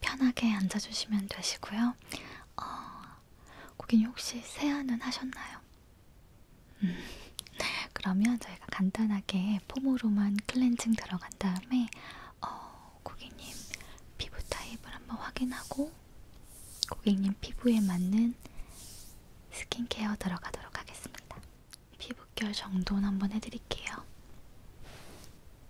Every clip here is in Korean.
편하게 앉아주시면 되시고요. 어, 고객님 혹시 세안은 하셨나요? 음, 그러면 저희가 간단하게 폼으로만 클렌징 들어간 다음에 어, 고객님 피부 타입을 한번 확인하고 고객님 피부에 맞는 스킨케어 들어가도록 하겠습니다. 피부결 정돈 한번 해드릴게요.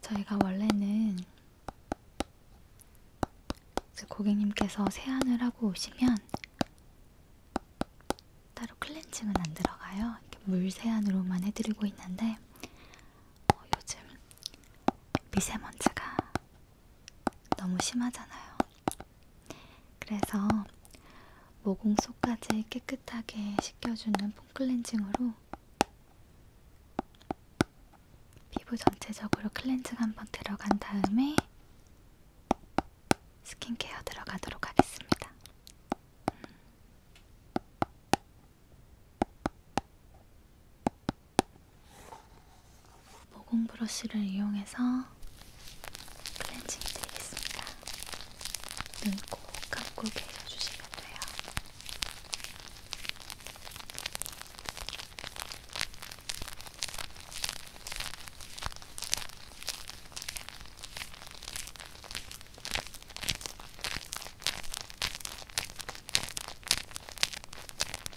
저희가 원래는 고객님께서 세안을 하고 오시면 따로 클렌징은 안 들어가요. 물 세안으로만 해드리고 있는데 어, 요즘 미세먼지가 너무 심하잖아요. 그래서 모공 속까지 깨끗하게 식혀주는 폼클렌징으로 피부 전체적으로 클렌징 한 번 들어간 다음에 스킨케어 들어가도록 하겠습니다. 음. 모공 브러쉬를 이용해서 클렌징 드리겠습니다. 눈 꼭 감고 계셔주시면 돼요.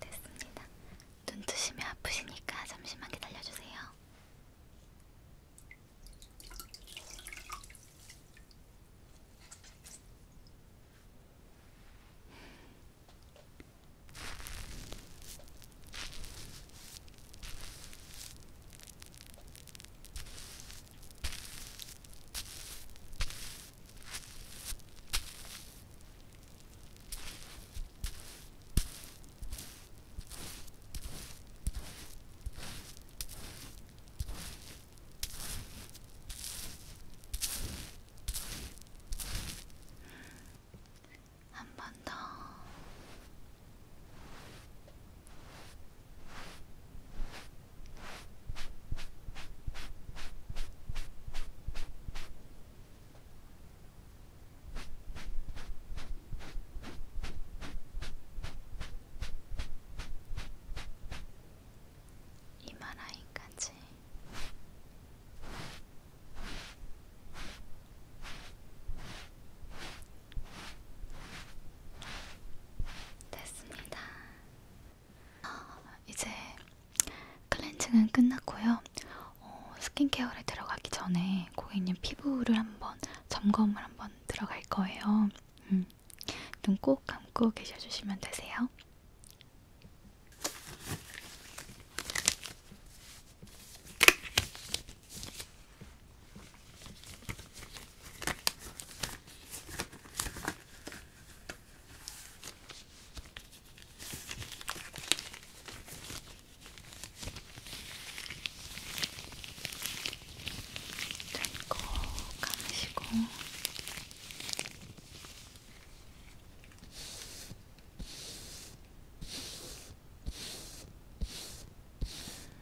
됐습니다. 눈 뜨시면 아프시니까 잠시만 기다려주세요. 한번더 이마 라인까지 됐습니다. 이제 클렌징은 끝났고요. 어, 스킨케어를 들어가기 전에 고객님 피부를 한번 점검을 한번 들어갈 거예요. 음, 눈꼭 감고 계셔주시면 되세요. 꼭 감으시고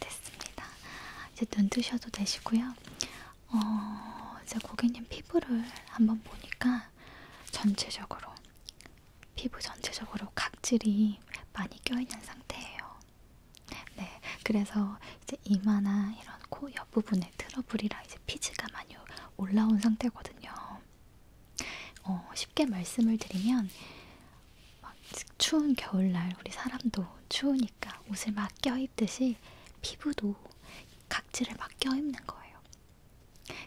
됐습니다. 이제 눈 뜨셔도 되시고요. 어, 이제 고객님 피부를 한번 보니까 전체적으로 피부 전체적으로 각질이 많이 껴있는 상태예요. 네, 그래서 이제 이마나 이런 코 옆 부분에 트러블이라 이제 피지가 많이 올라온 상태거든요. 어, 쉽게 말씀을 드리면 막 추운 겨울날 우리 사람도 추우니까 옷을 막 껴입듯이 피부도 각질을 막 껴입는 거예요.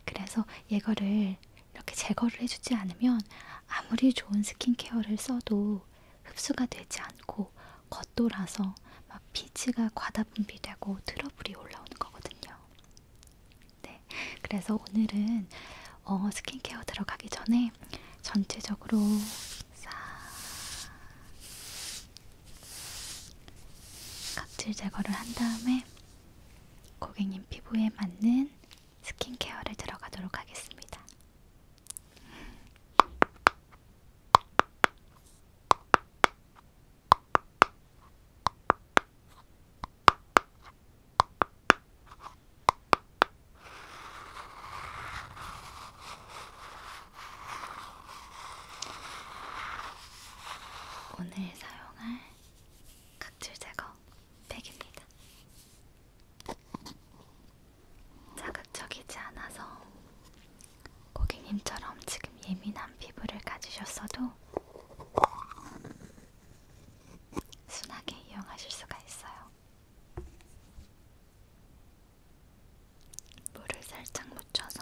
그래서 얘거를 이렇게 제거를 해주지 않으면 아무리 좋은 스킨케어를 써도 흡수가 되지 않고 겉돌아서 막 피지가 과다 분비되고 트러블이 올라오는 거거든요. 네, 그래서 오늘은 어, 스킨케어 들어가기 전에 전체적으로 싹 각질 제거를 한 다음에 고객님 피부에 맞는 스킨케어를 들어가도록 하겠습니다. 오늘 오늘 사용할 각질 제거 팩입니다. 자극적이지 않아서 고객님처럼 지금 예민한 피부를 가지셨어도 순하게 이용하실 수가 있어요. 물을 살짝 묻혀서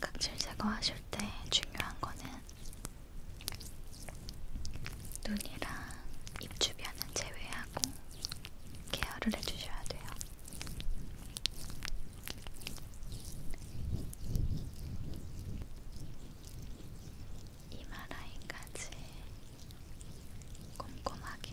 각질 제거하실 때 중요한 거는 눈이랑 입 주변은 제외하고 케어를 해주셔야 돼요. 이마 라인까지 꼼꼼하게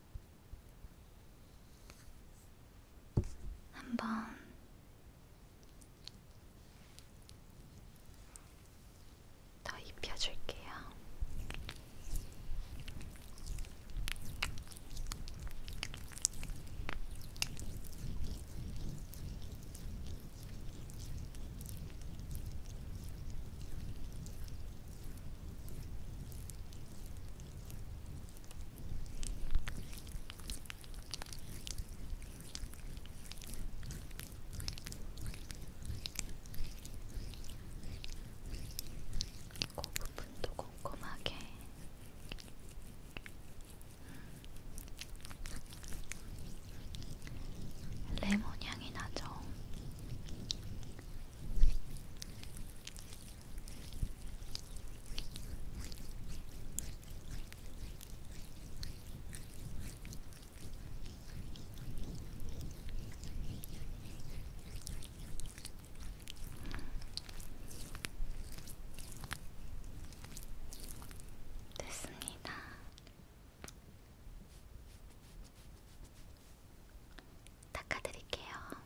한번 더 입혀줄게요. 그 부분도 꼼꼼하게 음. 레몬 향이 나죠. 됐습니다. 닦아드릴게요. 음.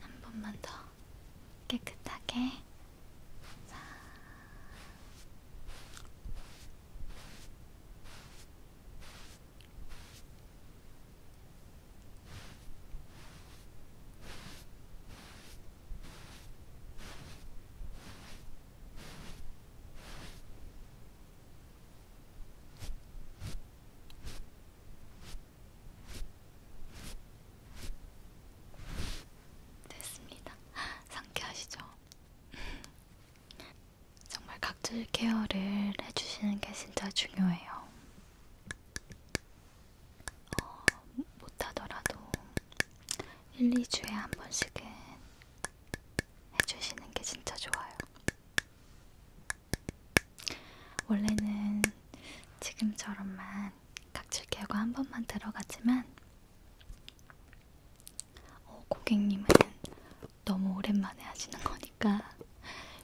한 번만 더 깨끗하게 자. 자, 됐습니다. 상쾌하시죠? 정말 각질 케어를 해주시는 게 진짜 중요해요. 어, 못하더라도 1, 2주에 한 번씩은 해주시는 게 진짜 좋아요. 원래는 지금처럼만 각질 개고 한 번만 들어갔지만 어, 고객님은 너무 오랜만에 하시는 거니까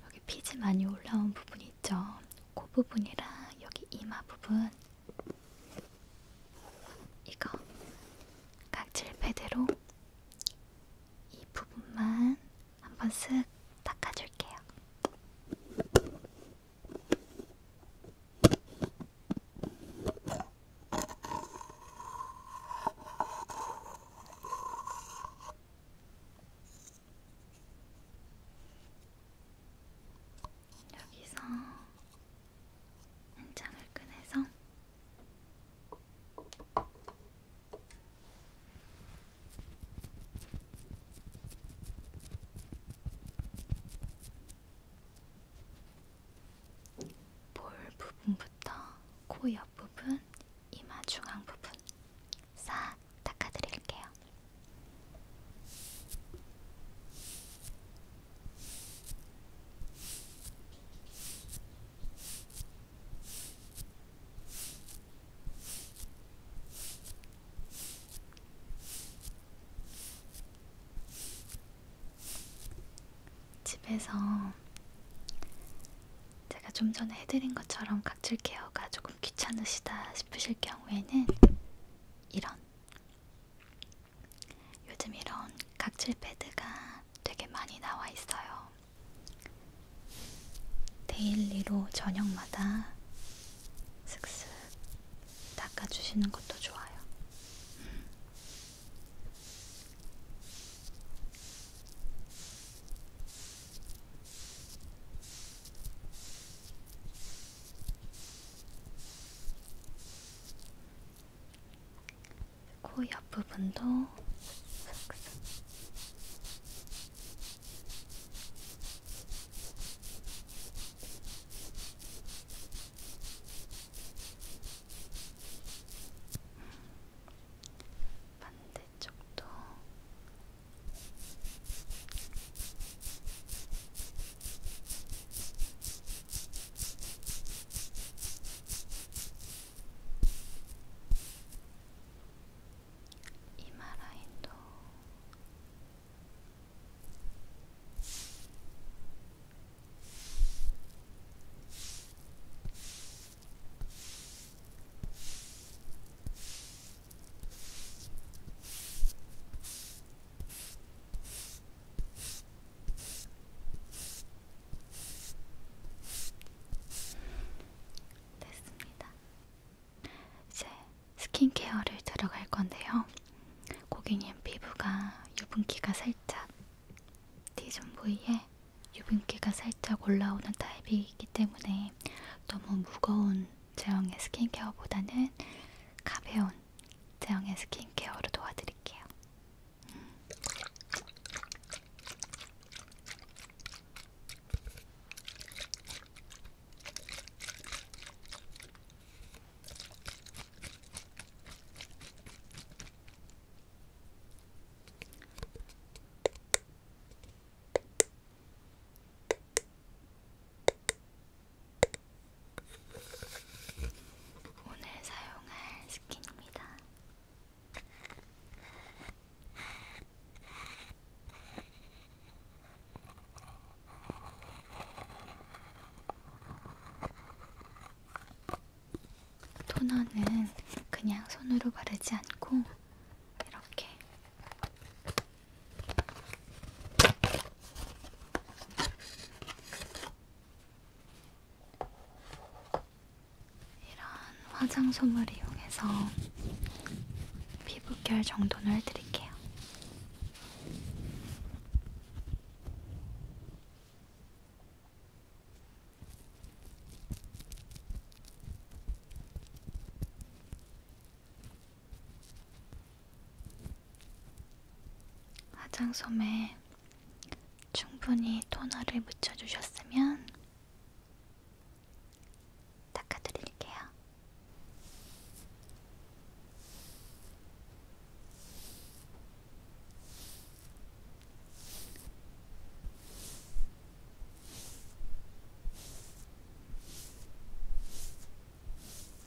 여기 피지 많이 올라온 부분 있죠? 코 부분이랑 여기 이마 부분 이거 각질 패드로 이 부분만 한번 쓱 닦아줄게요. 여기서 한 장을 꺼내서 볼 부분부터 코 옆부분, 이마 중앙 부분 싹 닦아드릴게요. 집에서 제가 좀 전에 해드린 것처럼 각질 케어가 조금 귀찮으시다 싶으실 경우에는 이런 요즘 이런 각질 패드가 되게 많이 나와 있어요. 데일리로 저녁마다 슥슥 닦아주시는 것도 좋아요. 음. 코 옆부분도 슥슥 반대쪽도 음, 今ライト耳 됐습니다. 이제 스킨케어를 들어갈 건데요. 고객님 피부가 유분기가 살짝 T존 부위에 유분기가 살짝 올라오는 타입이기 때문에 너무 무거운 제형의 스킨케어보다는 가벼운 제형의 스킨케어로 도와드릴게요. 음. 오늘 사용할 스킨입니다. 토너는 그냥 손으로 바르지 않고 이렇게 이런 화장솜을 이용해서 피부결 정돈을 해드릴게요. 화장솜에 충분히 토너를 묻혀주셨으면 닦아드릴게요.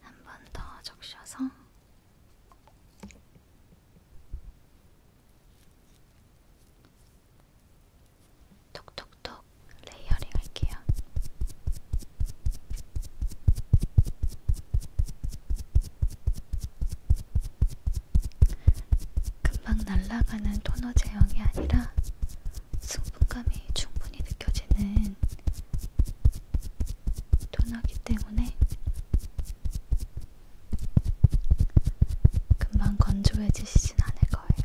한번더 적셔서 톡톡톡 레이어링 할게요. 금방 날아가는 토너 제형이 아니라 승분감이 충분히 느껴지는 토너기 때문에 금방 건조해지시진 않을 거예요.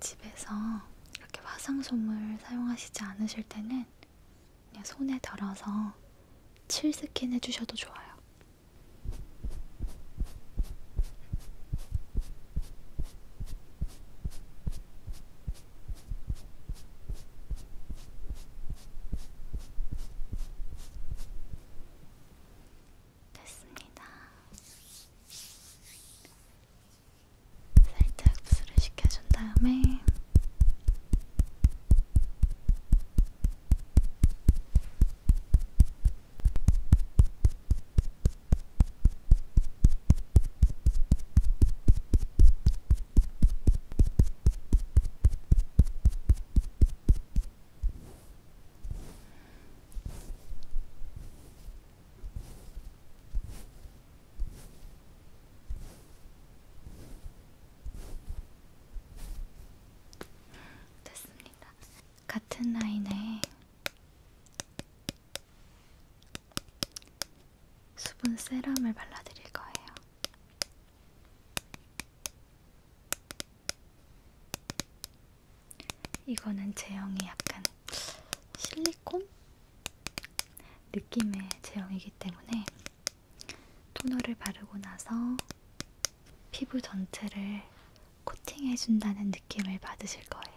집에서 이렇게 화상솜을 사용하시지 않으실 때는 그냥 손에 덜어서 칠스킨 해주셔도 좋아요. 됐습니다. 살짝 흡수를 시켜준 다음에 됐습니다. 같은 라인에 수분 세럼을 발라드릴 거예요. 이거는 제형이 약간 실리콘 느낌의 제형이기 때문에 토너를 바르고 나서 피부 전체를 코팅해준다는 느낌을 받으실 거예요.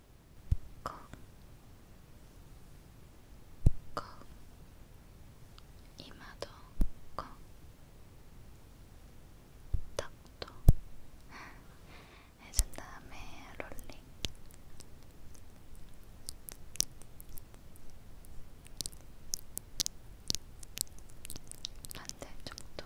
콕, 콕, 이마도 콕, 턱도 해준 다음에 롤링. 반대쪽도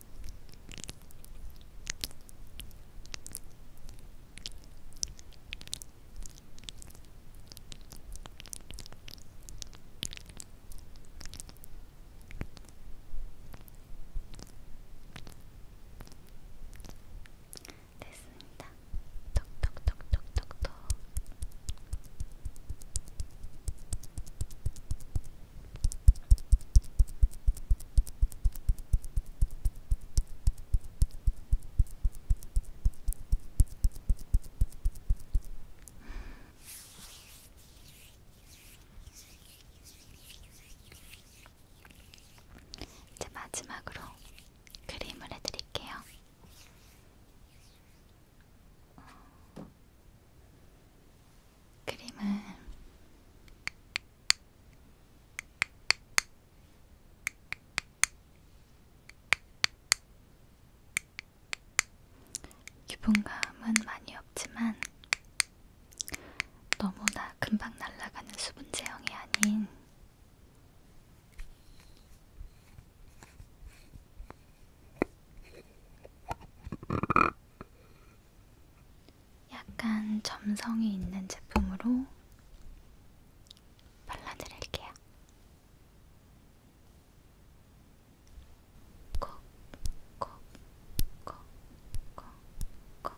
됐습니다. 톡톡톡톡톡톡. 이제 마지막으로 그림을 해드릴게요. 크림은 유분감은 많이 없지만 너무나 금방 날아가는 수분 제형이 아닌 약간 점성이 있는 제품으로 발라드릴게요. 콕, 콕, 콕, 콕, 콕.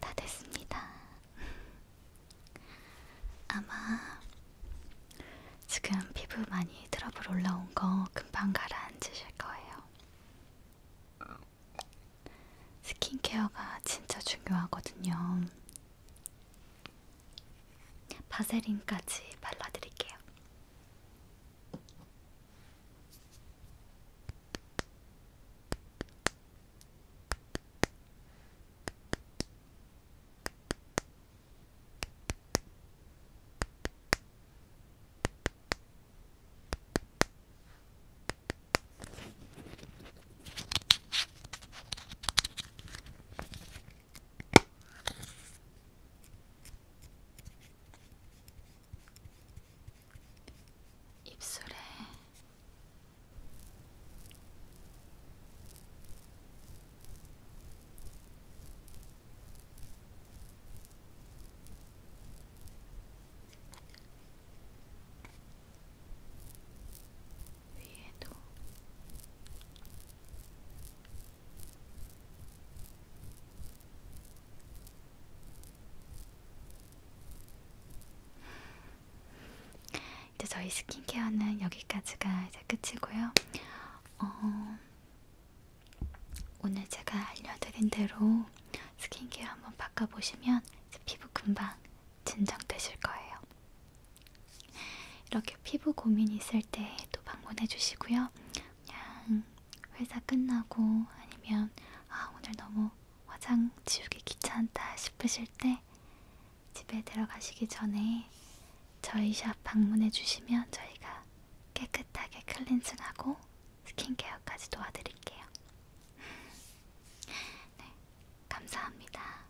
다 됐습니다. 아마 지금 피부 많이 트러블 올라온 거 금방 가라앉으실 거예요. 스킨케어가 진짜 중요하거든요. 바세린까지 발라드릴게요. 입술에 위에도 이제 저희 스킨케어는 여기까지가 이제 끝이고요. 어, 오늘 제가 알려드린 대로 스킨케어 한번 바꿔보시면 피부 금방 진정되실 거예요. 이렇게 피부 고민 있을 때 또 방문해 주시고요. 그냥 회사 끝나고 아니면 아 오늘 너무 화장 지우기 귀찮다 싶으실 때 집에 들어가시기 전에 저희 샵 방문해 주시면 저희가 깨끗하게 클렌징하고 스킨케어까지 도와드릴게요. 네, 감사합니다.